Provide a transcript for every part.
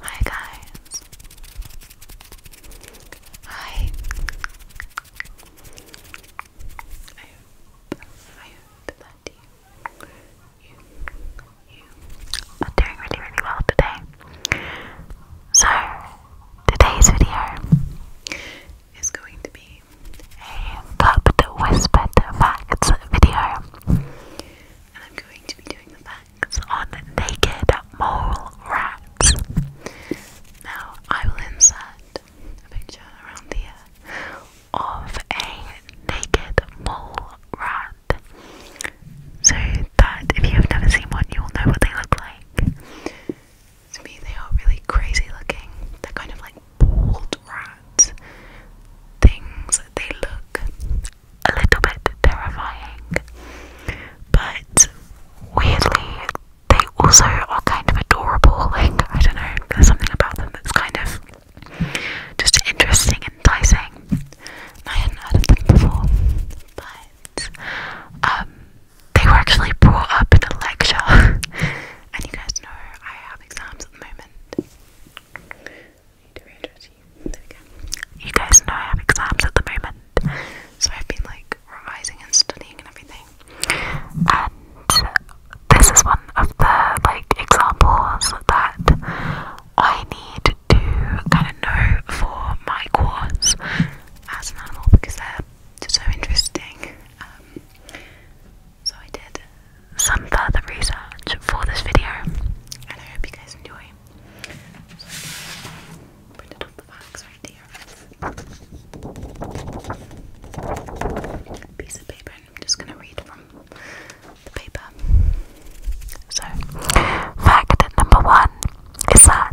Hi guys. Hi. I hope, I hope that you, you, are doing really, really well today. So, today's video is going to be a the whispered facts video and I'm going to be doing the facts on naked mole rats. Now, I will insert a picture around here of a naked mole rat. So that if you have never seen one, you will know what they look like. To me, they are really crazy looking. They're kind of like bald rat things. They look a little bit terrifying. But weirdly, they also are kind of adorable. Like, I don't know, there's something about them that's kind of just interesting and enticing. I hadn't heard of them before. But, um, they were actually brought up in a lecture. and you guys know I have exams at the moment you. guys know I have exams at the moment, so I've been like revising and studying and everything. And this is one of the like examples that I need to kind of know for my course as an animal because they're just so interesting. Um, so I did some further research for this video, and I hope you guys enjoy. So I printed the facts right here. Piece of paper, I'm just going to read from the paper. So, fact number one is that,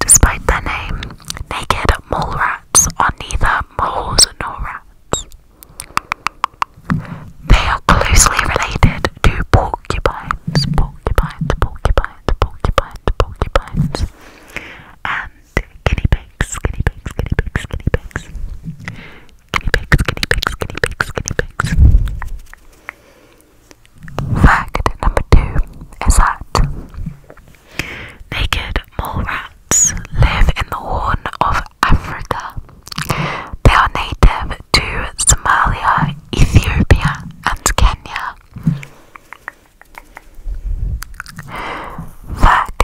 despite their name, naked mole rats are neither moles nor rats. They are closely related to porcupines, porcupines, porcupines, porcupines, porcupines, and guinea pigs, guinea pigs, guinea pigs, guinea pigs, guinea pigs, guinea pigs, guinea pigs, guinea pigs. Fact number two is that naked mole rats live in the horn of Africa. They are native to Somalia, Ethiopia, and Kenya. Fact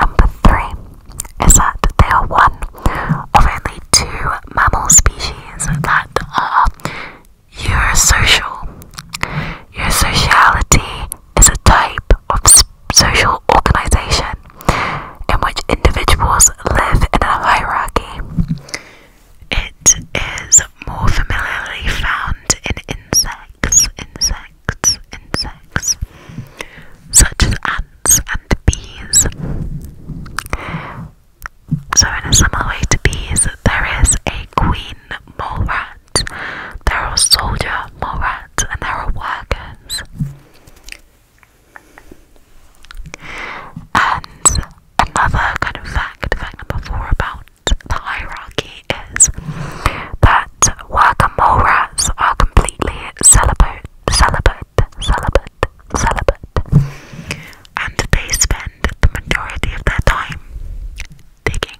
number three is that they are one of only two mammal species that are Eurosocial. Eusociality is a type of social organization in which individuals live in a hierarchy. It is more familiarly found in insects, insects, insects, such as ants and bees. So, in a similar way to bees, there is a queen mole rat, there are soldier mole rats, and there are workers. And another kind of fact, fact number four about the hierarchy is that wakamoras are completely celibate, celibate, celibate, celibate, and they spend the majority of their time digging.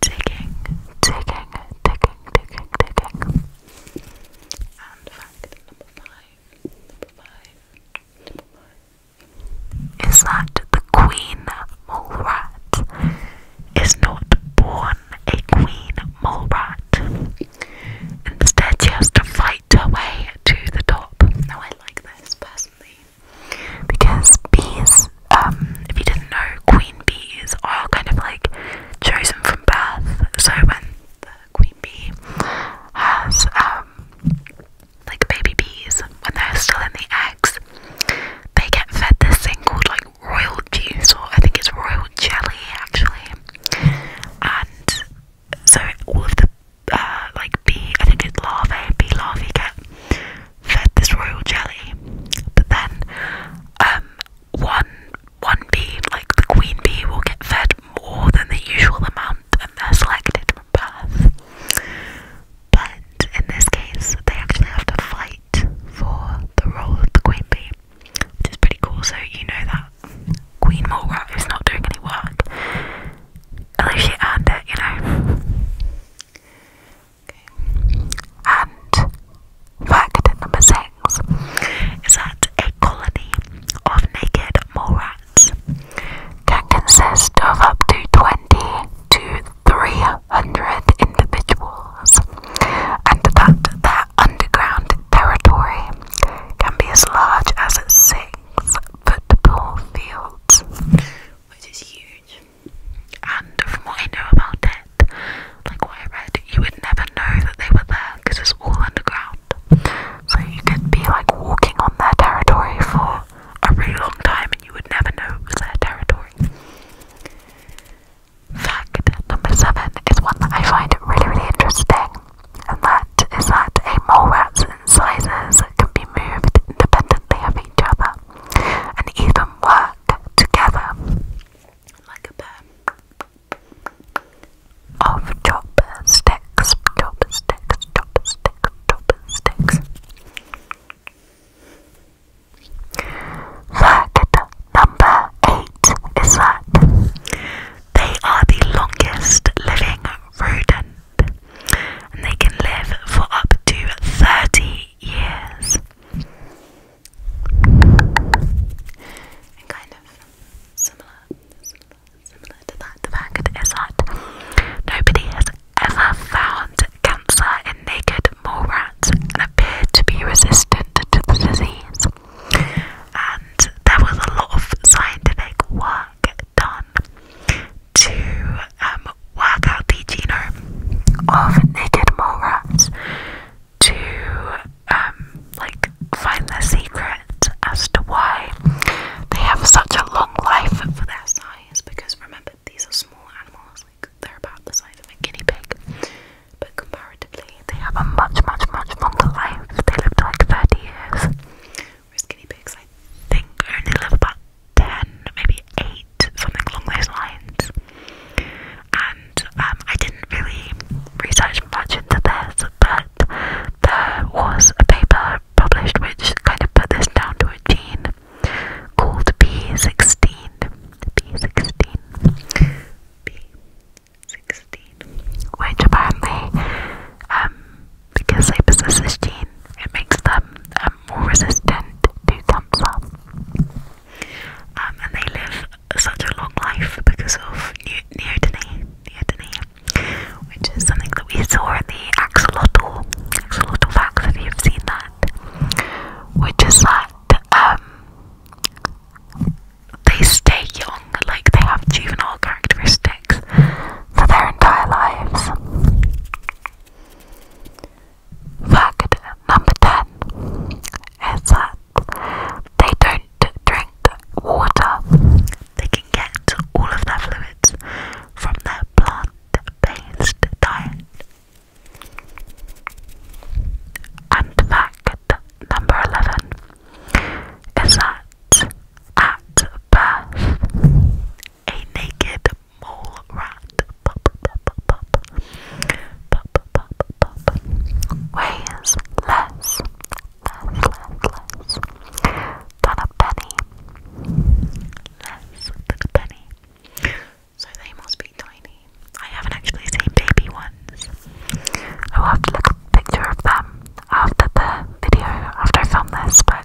Ticking, ticking, ticking, ticking, ticking. And fact number five, number five, number five is that the queen mole rat is not born a queen mole rat. Instead, she has to fight her way to the top. Now, I like this personally because bees um, if you didn't know, queen bees are kind of like chosen from birth. So when the queen bee has um, like baby bees, when they're still in the eggs, they get fed this thing called like royal juice, or I think it's royal jelly actually. And so all of the uh, like bee, I think it's larvae, bee larvae get fed this royal jelly. But then, um, one one bee, like the queen bee, will get fed more than the usual amount, and they're selected for birth. But in this case, they actually have to fight for the role of the queen bee, which is pretty cool. So you know that Queen Mole Rat is not doing any work, unless she earned it, you know. And fact number six is that a colony of naked mole rats can consist of up to 20 to 300 individuals, and that their underground territory can be as large as six football fields, which is huge. And from what I know about it, like what I read, you would never know that they were there because it's all underground. So you could be like walking on their territory for a really long time and you would never know it was their territory. Fact number seven is one that I find really, really interesting, and that is that a mole rat's incisors can be moved independently of each other and even work together of chopsticks, chopsticks, chopsticks, chopsticks. number eight is that they are the longest living rodent and they can live for up to 30 Yes, And kind of similar, similar, similar to that, the fact is that nobody has ever found cancer in naked mole rats and appeared to be resistant to the disease. And there was a lot of scientific work done to um, work out the genome of naked mole rats to um, like find their secret as to why they have such a long life for their size. Because remember, these are small animals; like they're about the size of a guinea pig, but comparatively, they have a much, much, much longer life. They live like thirty years. Whereas guinea pigs, I think, only live about ten, maybe eight, something along those lines. And um, I didn't really research much into this, but there was a paper published which kind of put this down to a gene called P 16 P 16 P 16 Which apparently, um, because they possess this gene, it makes them um, more resistant to cancer. Um, and they live such a long life because of ne neoteny, neoteny, which is something that we saw in the axolotl, axolotl facts, if you've seen that, which is that um, they stay young, like they have juvenile characteristics for their entire lives. Fact number 10 is that they don't drink water, they can get all of their fluids from their plant based diet. And fact number 11 is that at birth, a naked mole rat. Pup, pup, pup, pup. Pup, pup, pup, pup. Weighs less, than a penny. Less than a penny. So they must be tiny. I haven't actually seen baby ones. Oh, I'll have to look at a picture of them after the video, after I film this, but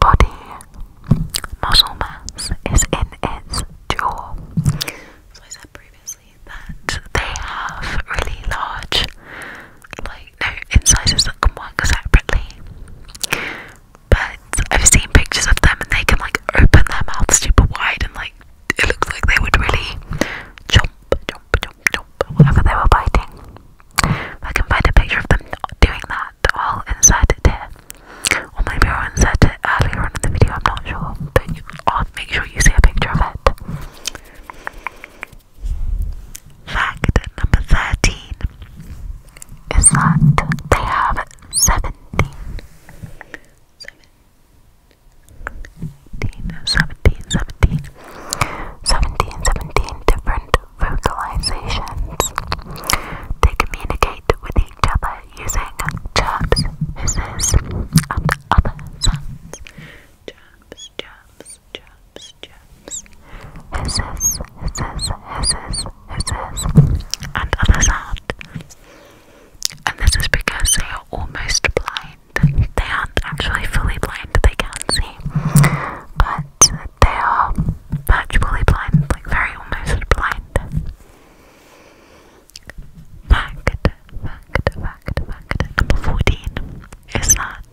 body muscle mass is in its jaw. So I said previously that they have really large, like no incisors that can work separately. But I've seen pictures of them and they can like open their mouth super wide and like it looks like they would really jump, jump, jump, nope, whatever they were biting. I can find a picture of them doing that, all inside it here. Or maybe I'll insert it earlier on in the video, I'm not sure. But you, I'll make sure you see a picture of it. Fact number 13 is that they have 17. 17, different vocalizations. They communicate with each other using chirps, hisses, and other sounds. Chirps, chirps, chirps, chirps, hisses, hisses, hisses, hisses, and other sounds. And this is because they are almost blind. They aren't actually fully blind, they can't see. But they are virtually blind, like very almost blind. Fact, fact, fact, fact. Number 14 is that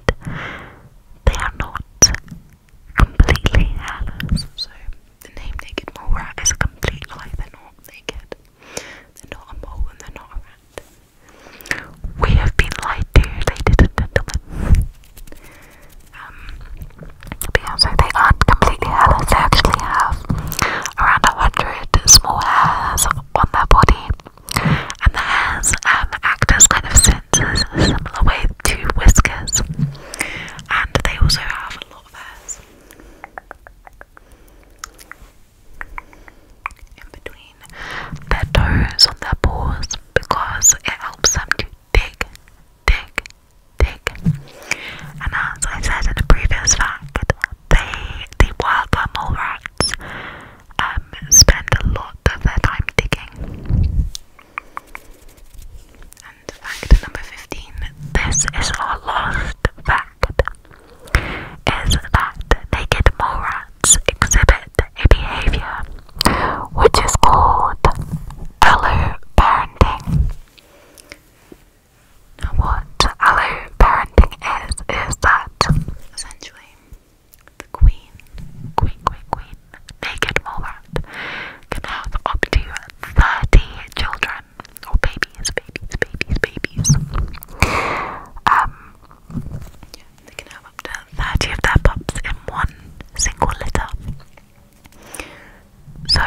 they are not completely hairless. So the name Naked Mole Rat is completely like they're not naked. They're not a mole and they're not a rat. We have been lied to, ladies and gentlemen. Um, but yeah, they aren't completely hairless. They actually have around a hundred small hairs on their body, and the hairs um, act as kind of sensors similar way to whiskers. And they also have a lot of hairs in between their toes on their paws because it helps them to dig, dig, dig. And as I said in the previous fact, they, the worker mole rats um, spend a lot of their time digging. And fact number 15 this is our last fact is that naked mole rats exhibit a behavior which is called alloparenting? Now, what alloparenting is, is that essentially the queen, queen, queen, queen, naked mole rat can have up to 30 children or babies, babies, babies, babies. Um, they can have up to 30 of their pups in one single litter. So,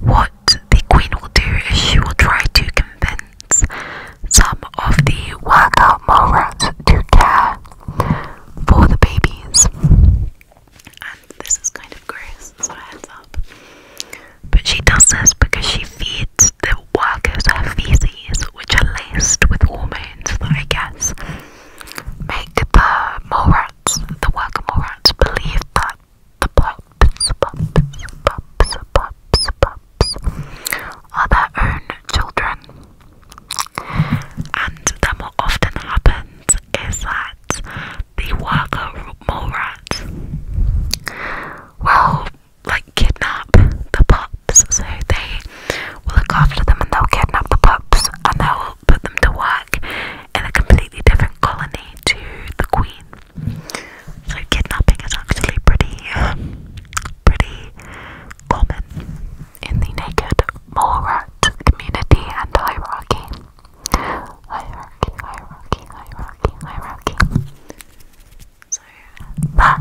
what the queen will do is she will try to convince some of the worker mole rats to care for the babies. And this is kind of gross, so heads up. But she does this because she feeds the workers her feces, which are laced with hormones I guess make the mole the worker mole believe that the pups, pups, pups, pups, pups are their own children. And then what often happens is that the worker mole rats will like kidnap the pups. So they will look after them and they'll kidnap the pups and they'll put them to work in a completely different colony to the queen. So kidnapping is actually pretty, pretty common in the naked mole rat community and hierarchy. Hierarchy, hierarchy, hierarchy, hierarchy. So that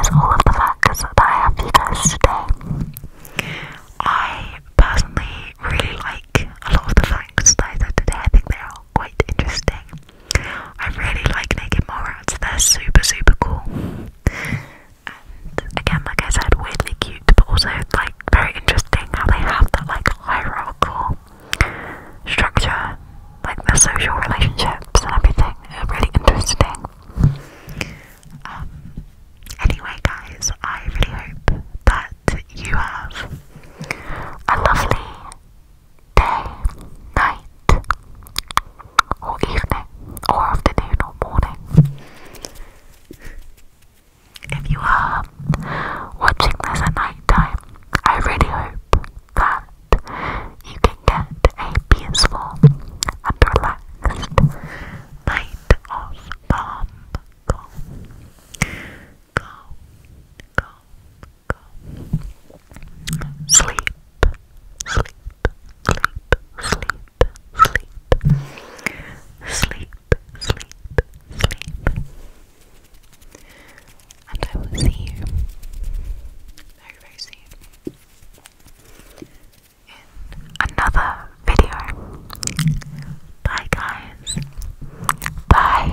is all of the facts that I have for you guys today. I personally really like a lot of the facts that I said today. I think they are quite interesting. I really like naked mole They're super super cool. And again, like I said, weirdly cute, but also like very interesting how they have that like hierarchical structure, like the social relationships and everything. really interesting. Um, anyway, guys, I really hope that you have a lovely day, night, or evening, or afternoon, or morning. If you are watching this at night time, I really hope that you can get a peaceful and relaxed night of calm, calm, calm, calm. Sleep, sleep, sleep, sleep, sleep, sleep, sleep, sleep and I will see you very, very soon in another video. Bye, guys. Bye.